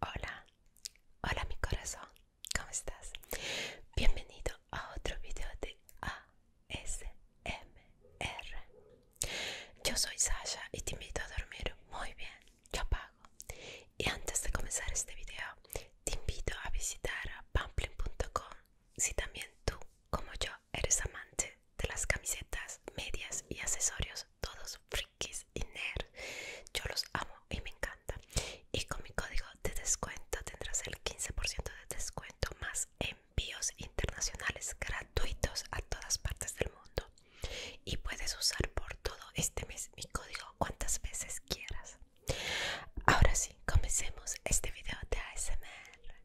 Hola, hola mi corazón, ¿cómo estás? Bienvenido a otro video de ASMR. Yo soy Sasha y te invito a dormir muy bien, yo apago. Y antes de comenzar este video, te invito a visitar a pamplin.com si también tú, como yo, eres amante de las camisetas, medias y accesorios, todos frikis y nerd. Yo los amo y me encanta. Y con mi código de descuento tendrás el 15% de descuento más envíos internacionales gratuitos a todas partes del mundo. Y puedes usar por todo este mes mi código cuantas veces quieras. Ahora sí, comencemos este video de ASMR.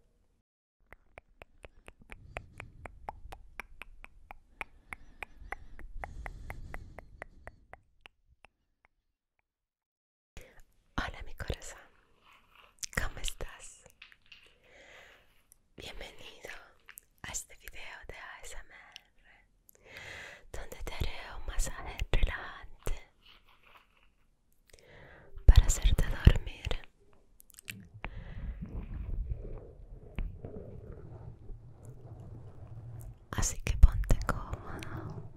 Hola mi corazón, ¿cómo estás? Bienvenido a este video de ASMR donde te haré un masaje relajante para hacerte dormir Así que ponte cómodo.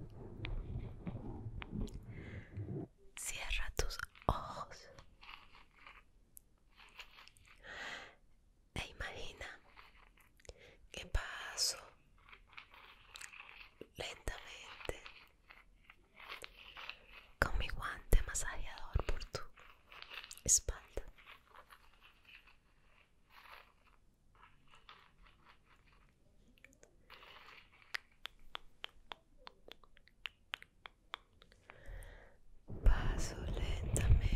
Cierra tus ojos e imagina que paso lentamente con mi guante masajeador por tu espalda. Paso lentamente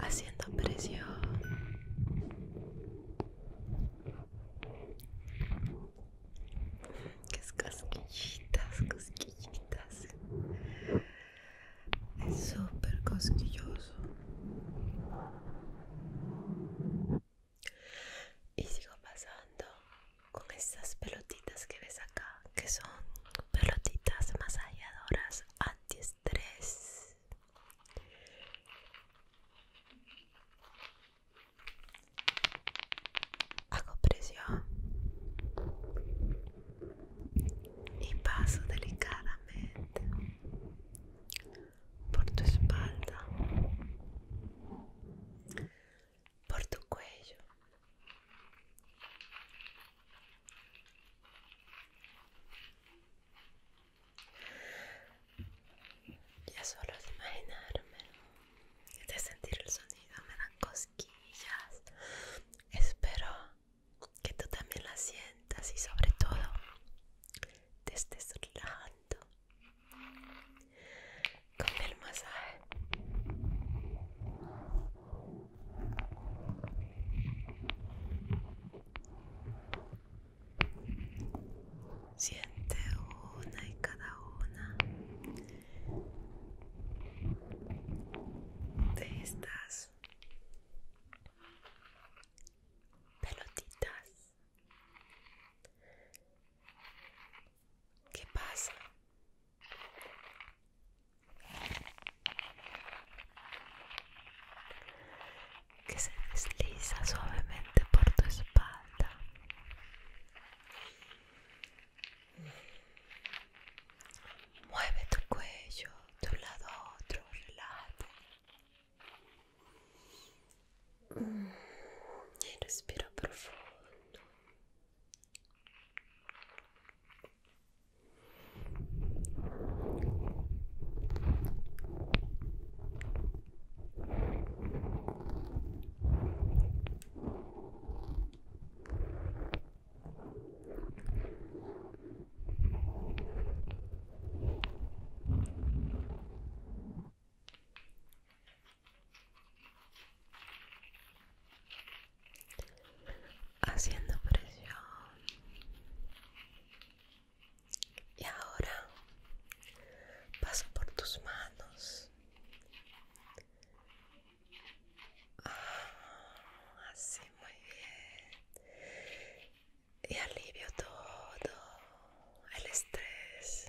haciendo presión que es cosquillitas, cosquillitas. Es súper cosquilloso. Y sigo pasando con estas pelotitas que ves acá, que son pelotitas masajeadoras antiestrés. Hago presión y paso delicadamente por tu espalda, por tu cuello. Ya solo de imaginarme de sentir el sonido me dan cosquillas. Espero que tú también la sientas y sobre todo te estés relajando con el masaje. Siente una y cada una de estas pelotitas. ¿Qué pasa? que se desliza suavemente por tu espalda. Mueve tu cuello de un lado a otro, relaja Y respira profundo haciendo presión y ahora paso por tus manos. así ah, muy bien. Y alivio todo el estrés.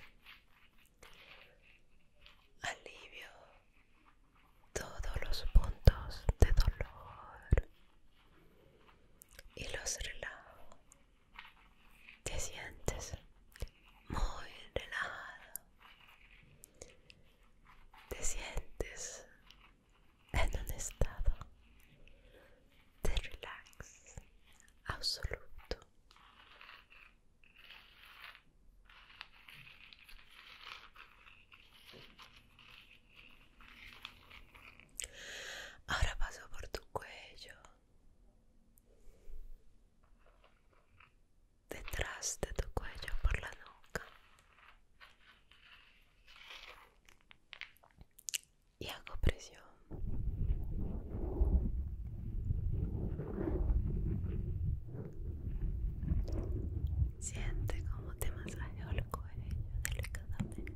Alivio todos los puntos de dolor. Y los relajo te sientes muy relajado, te sientes en un estado de relax absoluto. Ahora paso por tu cuello, detrás de tu cuello, por la nuca. Y hago presión. Siente como te masajeo el cuello delicadamente.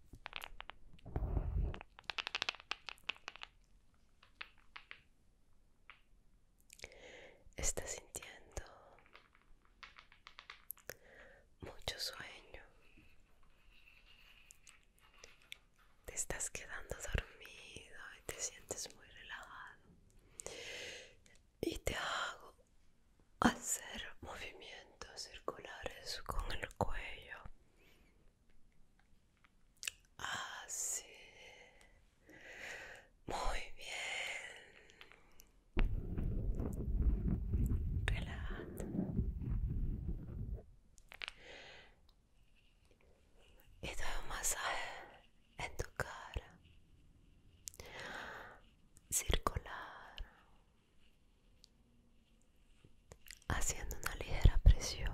Estás sintiendo mucho sueño. Te estás quedando dormido y te sientes muy relajado. Y te hago hacer movimientos circulares con el cuello así muy bien y doy un masaje en tu cara circular haciendo una ligera presión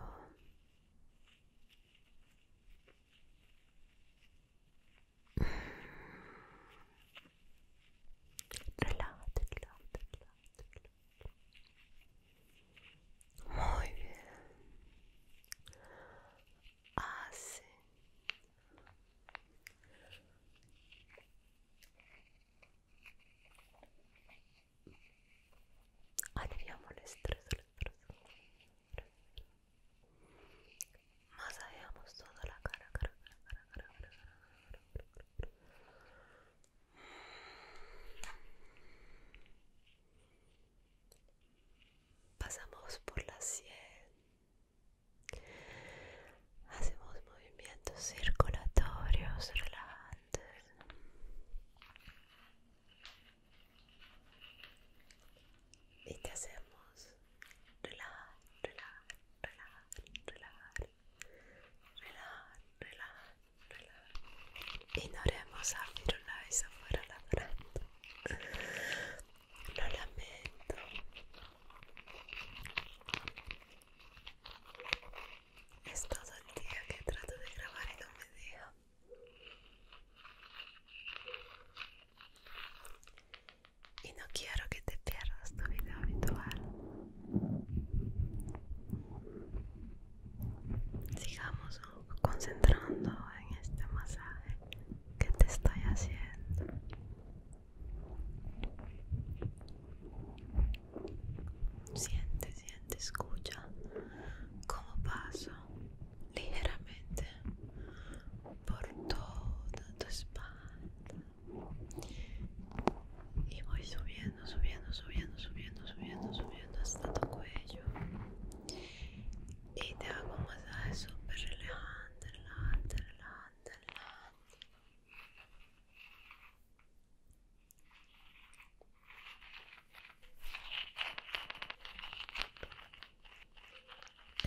muy bien Así. Aliviamo el estrés, el estrés. toda la cara, cara, cara, cara, cara, cara, cara, cara, cara. Pasamos por la sien Hacemos movimientos circulatorios relajantes. Y te hacemos relajar, relajar, relajar, relajar, relajar, relajar, y Ignoremos abrir una afuera la lo lamento. Es todo el día que trato de grabar y no me Y no quiero que te pierdas tu video habitual. Sigamos concentrando en este masaje que te estoy haciendo. Siente, siente, escucha cómo paso ligeramente por toda tu espalda y voy subiendo, subiendo, subiendo, subiendo, subiendo, subiendo hasta tu cuello y te hago un súper relajante, relajante, relajante. mandala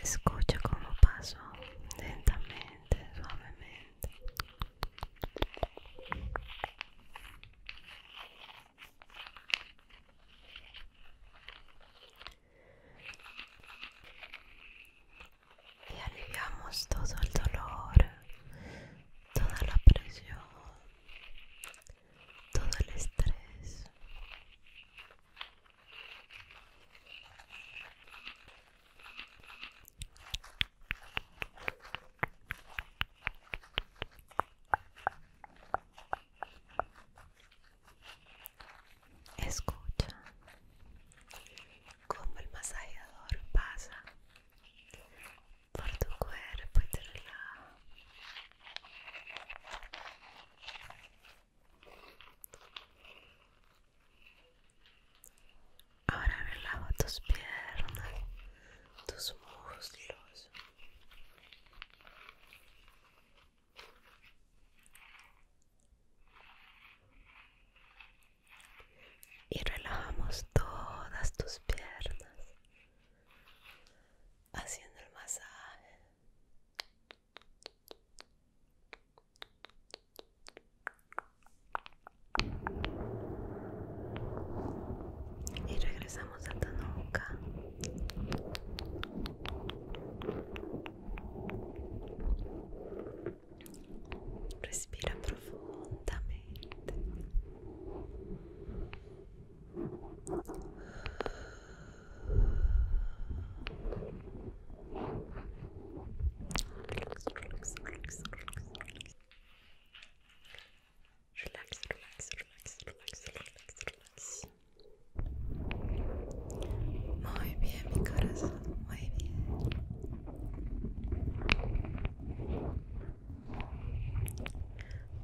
escucha como paso lentamente suavemente y aliviamos todo el dolor, toda la presión, todo el estrés. Escucha como el masajeador pasa por tu cuerpo y te relaja. Ahora relaja tus piernas, tus muslos. Y relajamos todas tus piernas haciendo el masaje. Y regresamos a tu nuca. Respira profondamente. Relax, relax, relax. Relax, relax, relax, relax, relax, relax. Muy bien, mi corazón, muy bien.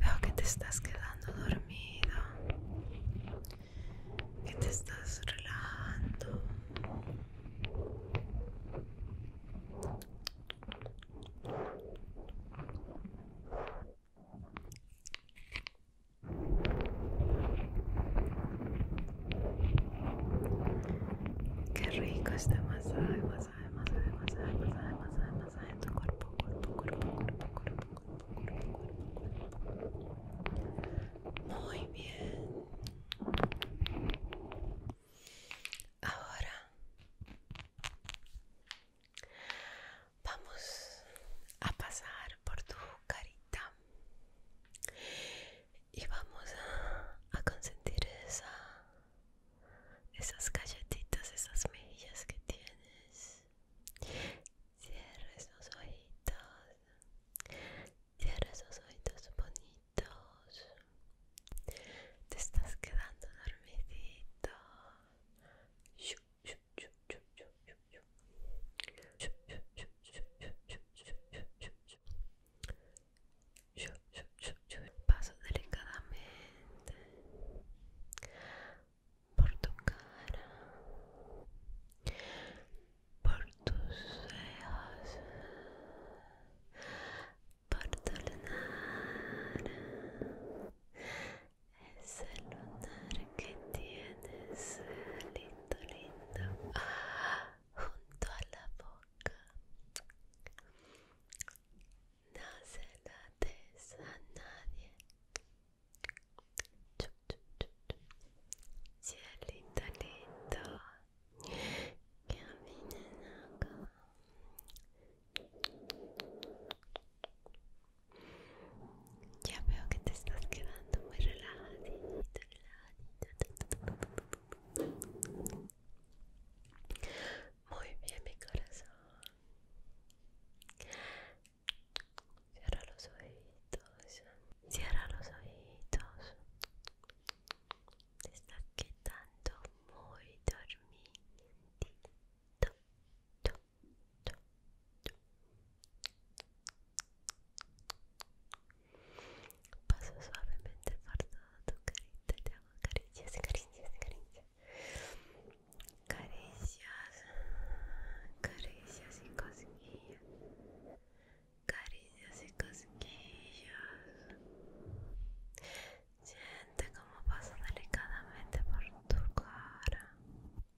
Veo que te estás quedando dormido, que te estás relajando. Qué rico este masaje, masaje, masaje, masaje, masaje, masaje, masaje tu cuerpo, cuerpo, cuerpo, cuerpo, cuerpo, cuerpo, cuerpo, cuerpo. Muy bien. Ahora Vamos a pasar por tu carita y vamos a, consentir esa, esas galletitas, esas mejillas que tienes. Cierra esos ojitos, cierra esos ojitos bonitos. Te estás quedando dormidito. Paso delicadamente por tu cara, por tus por tu es el lunar que tienes lindo lindo ah, junto a la boca no se nadie chup, chup, chup, chup. cielito lindo acá Ya veo que te estás quedando muy relajado, Muy bien, mi corazón. Cierra los oídos, Cierra los oídos. Te estás quedando muy dormidito. Paso suavemente por todo tu carita, te hago caricias, caricias, caricias. Caricias, caricias y cosquillas. Caricias y cosquillas. Siente como paso delicadamente por tu cara.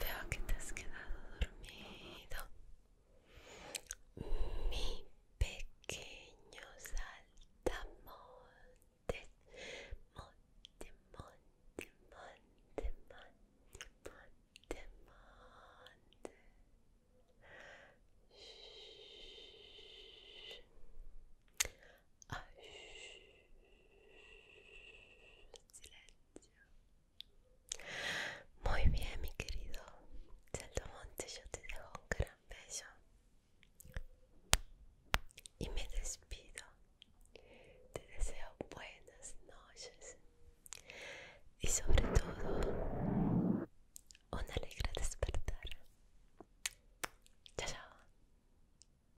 Veo que te has quedado dormido. Mi pequeño saltamontes, monte, monte, monte, monte, monte, monte silencio. Muy bien, mi querido monte yo te dejo un gran beso y me despido. Te deseo buenas noches y sobre todo un alegre despertar. chao.